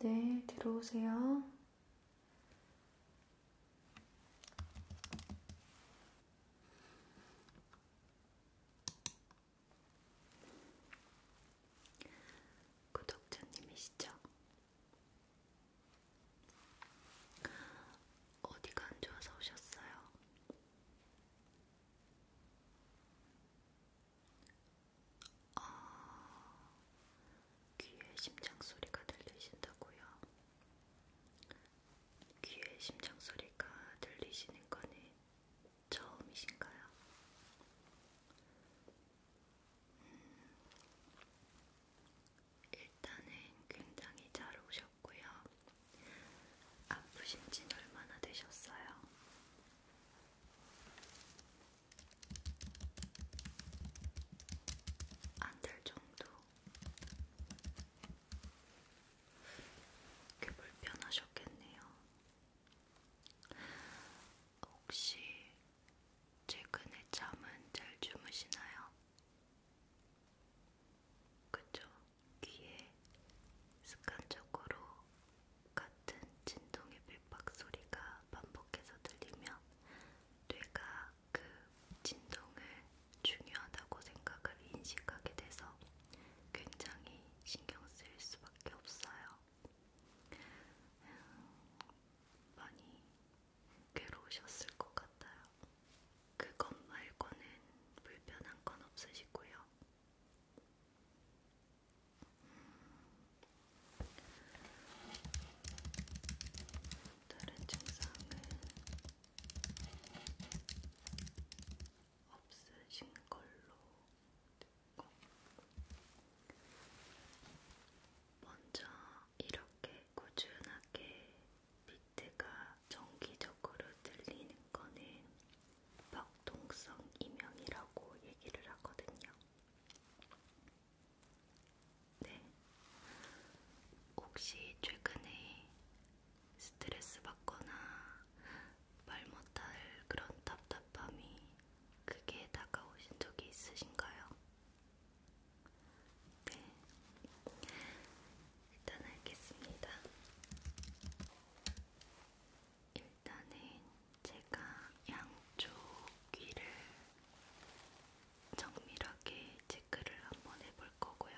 네, 들어오세요. 구독자님이시죠? 어디가 안 좋아서 오셨어요? 아, 귀에 심장 소리가 들리신다고요? 귀에 심장 소리가 들리시는 거는 처음이신가요? 음, 일단은 굉장히 잘 오셨고요. 아프신지는 얼마나 되셨어요? 안될 정도 꽤 불편하셨겠네요. 혹시 최근에 잠은 잘 주무시나요? 그죠? 귀에 습관적으로 같은 진동의 빗박 소리가 반복해서 들리면 뇌가 그 진동을 중요하다고 생각을 인식하게 돼서 굉장히 신경 쓸 수밖에 없어요. 음, 많이 괴로우셨을 것 같아요. 그것 말고는 불편한 건 없으시고요. 다른 증상은 없으신 걸로 듣고 먼저 이렇게 꾸준하게 비트가 정기적으로 들리는 거는 벽동성 이명이라고 얘기를 하거든요. 네. 혹시 최근에 스트레스 받거나 말 못할 그런 답답함이 크게 다가오신 적이 있으신가요? 네. 일단 알겠습니다. 일단은 제가 양쪽 귀를 정밀하게 체크를 한번 해볼 거고요.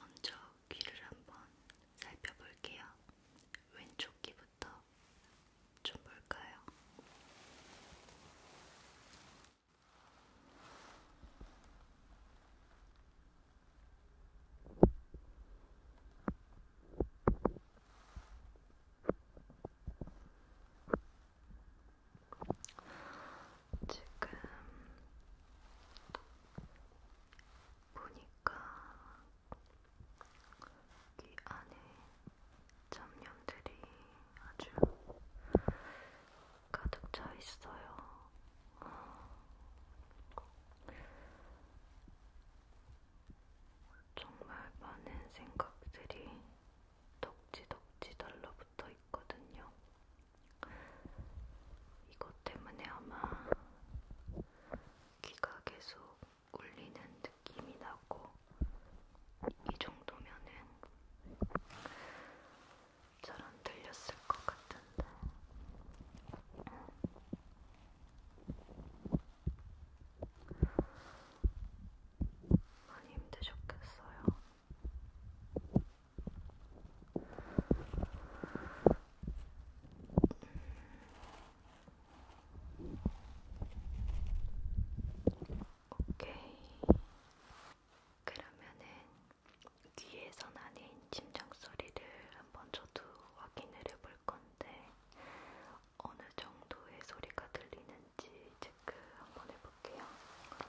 먼저 귀를 한번 살펴볼게요. 왼쪽 귀부터 좀 볼까요? 지금 보니까 귀 안에 잡념들이 아주 가득 차 있어요. 정말 많은 생각들이 덕지덕지 달라붙어 있거든요. 이것 때문에 아마 귀가 계속 울리는 느낌이 나고, 이 정도면은 잘안 들렸을 것 같은데. 많이 힘드셨겠어요. 오케이. 그러면은 뒤에서 나는 심장 소리를 한번 저도 확인을 해볼 건데 어느 정도의 소리가 들리는지 체크 한번 해볼게요. 음.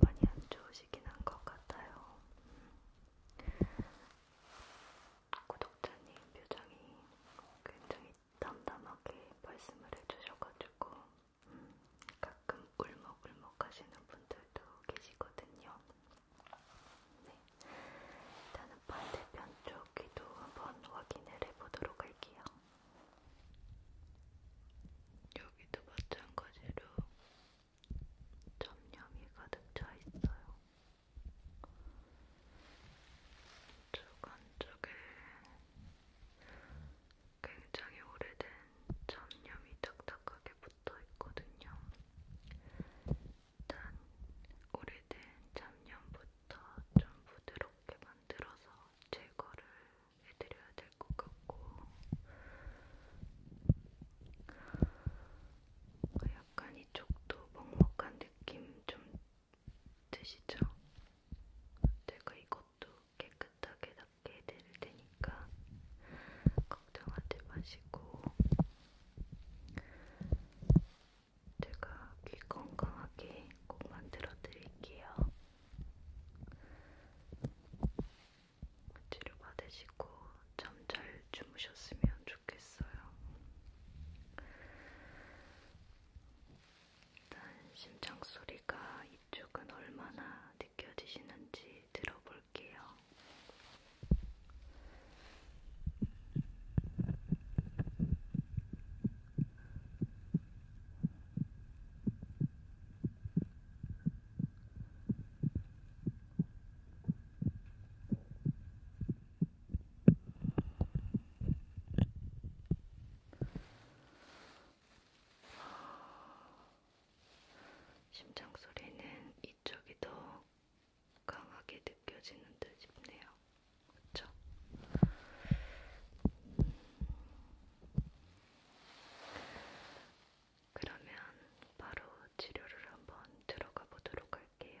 많이 안 좋으시긴 한 것 같아요. 음. 구독자님 표정이 굉장히 담담하게 말씀을 해주셔가지고 가끔 울먹울먹 하시는 분들도 계시거든요. 네. 일단은 반대편 쪽 귀도 한번 확인을 해보도록 할게요. 여기도 마찬가지로 점염이 가득 차 있어요. 쪽 안쪽에 굉장히 오래된 잡념이 딱딱하게 붙어 있거든요. 일단 오래된 잡념부터 좀 부드럽게 만들어서 제거를 해드려야 될 것 같고 약간 이쪽도 먹먹한 느낌 좀 드시죠? 제가 이것도 깨끗하게 닦 얘기해 드릴 테니까 걱정하지 마시고 제가 귀 건강하게 꼭 만들어 드릴게요. 치료 받으시고 잠잘 주무셨으면 좋겠어요. 일단 심장 소리가 이쪽은 얼마나 느껴지시는지 들어볼게요. 심장 소리는 이쪽이 더 강하게 느껴지는 듯 싶네요. 그쵸? 그러면 바로 치료를 한번 들어가 보도록 할게요.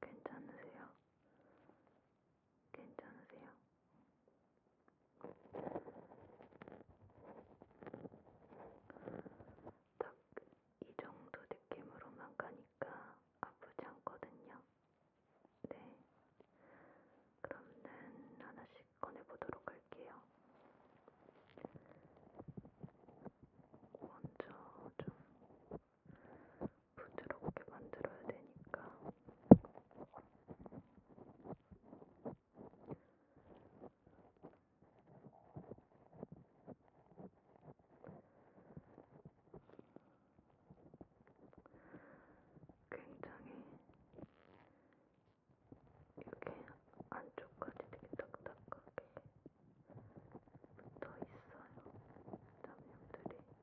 괜찮으세요? 괜찮으세요? 딱 이 정도 느낌으로만 가니까 아프지 않거든요. 네. 그럼는 하나씩 꺼내보도록 할게요. 먼저 좀 부드럽게 만들어야 되니까 굉장히 이렇게 안쪽까지 되게 딱딱하게 붙어 있어요. 담요들이.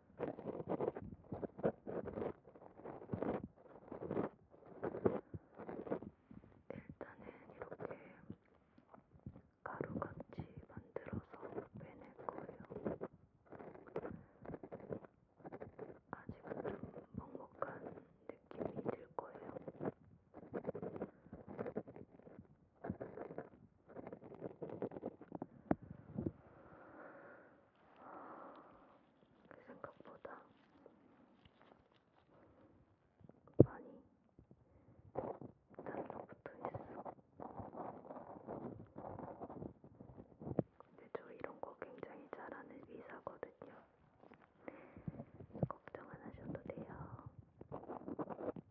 일단은 이렇게 가루같이 만들어서 빼낼 거예요. 아직은 좀 먹먹한 느낌이 들 거예요. 그 생각보다 많이 달라붙어 있어. 근데 저 이런 거 굉장히 잘하는 의사거든요. 걱정 안 하셔도 돼요.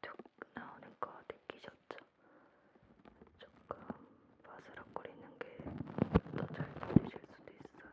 툭 나오는 거 느끼셨죠? 조금 바스락거리는 게 더 잘 보이실 수도 있어요.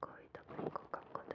거의 다본것 같거든요.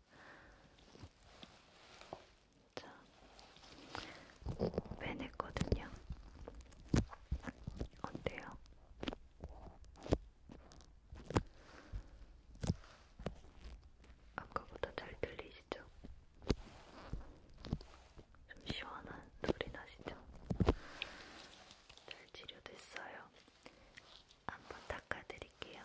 자, 빼냈거든요. 어때요? 아까보다 잘 들리시죠? 좀 시원한 소리 나시죠? 잘 치료됐어요. 한번 닦아드릴게요.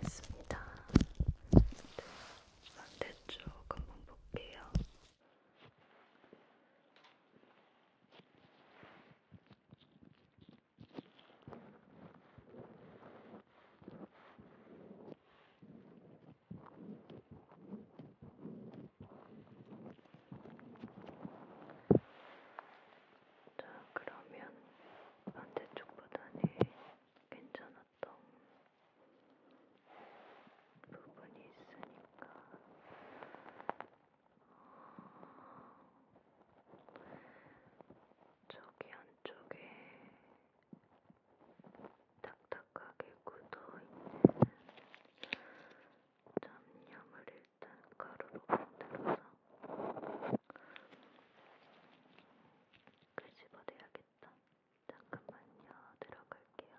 됐습니다. 반대쪽 한번 볼게요. 자, 그러면 반대쪽보다는 괜찮았던 부분이 있으니까 저기 안쪽에 딱딱하게 굳어있는 잡념을 일단 가루로 건드려서 그 집어내야겠다. 잠깐만요. 들어갈게요.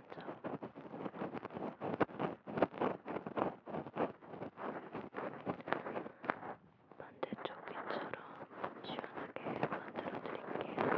진짜. 반대쪽 귀처럼 시원하게 만들어 드릴게요.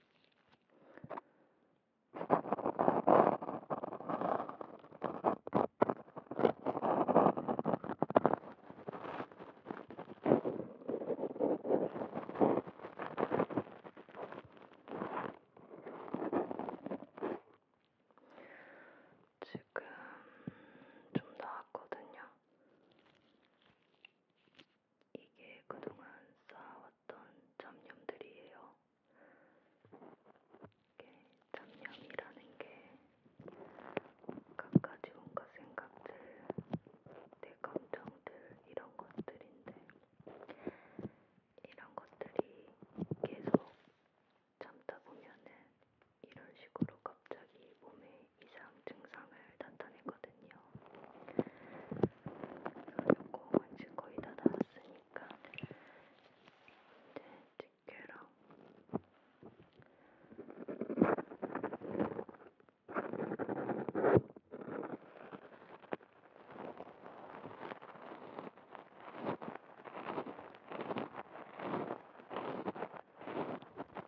지금 좀 나았거든요. 이게 그동안 쌓아왔던 잡념들이에요. 이게 잡념이라는 게 갖가지 온갖 생각들, 내 감정들 이런 것들인데 이런 것들이 계속 참다 보면은 이런 식으로 갑자기 몸에 이상 증상을 나타내거든요. 요거 이제 거의 다 나왔으니까 이제 네, 집게랑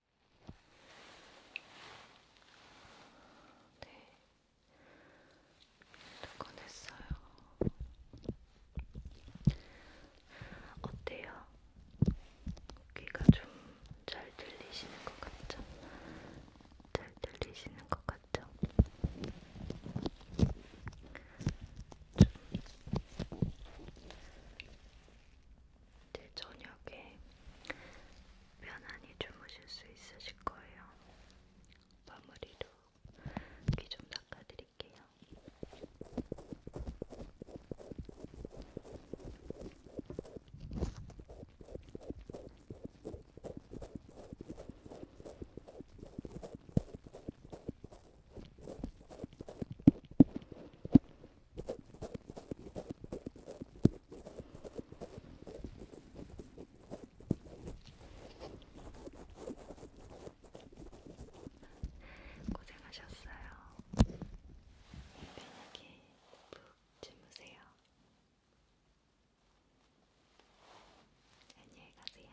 네. 꺼냈어요. 어때요? 귀가 좀 잘 들리시는 것 같죠? 잘 들리시는 것 같죠? 좀 이제 네, 저녁에 편안히 주무실 수 있으실 거예요. 마무리로 귀좀 닦아드릴게요. 고생하셨어요. 편하게 푹 주무세요. 안녕히 가세요.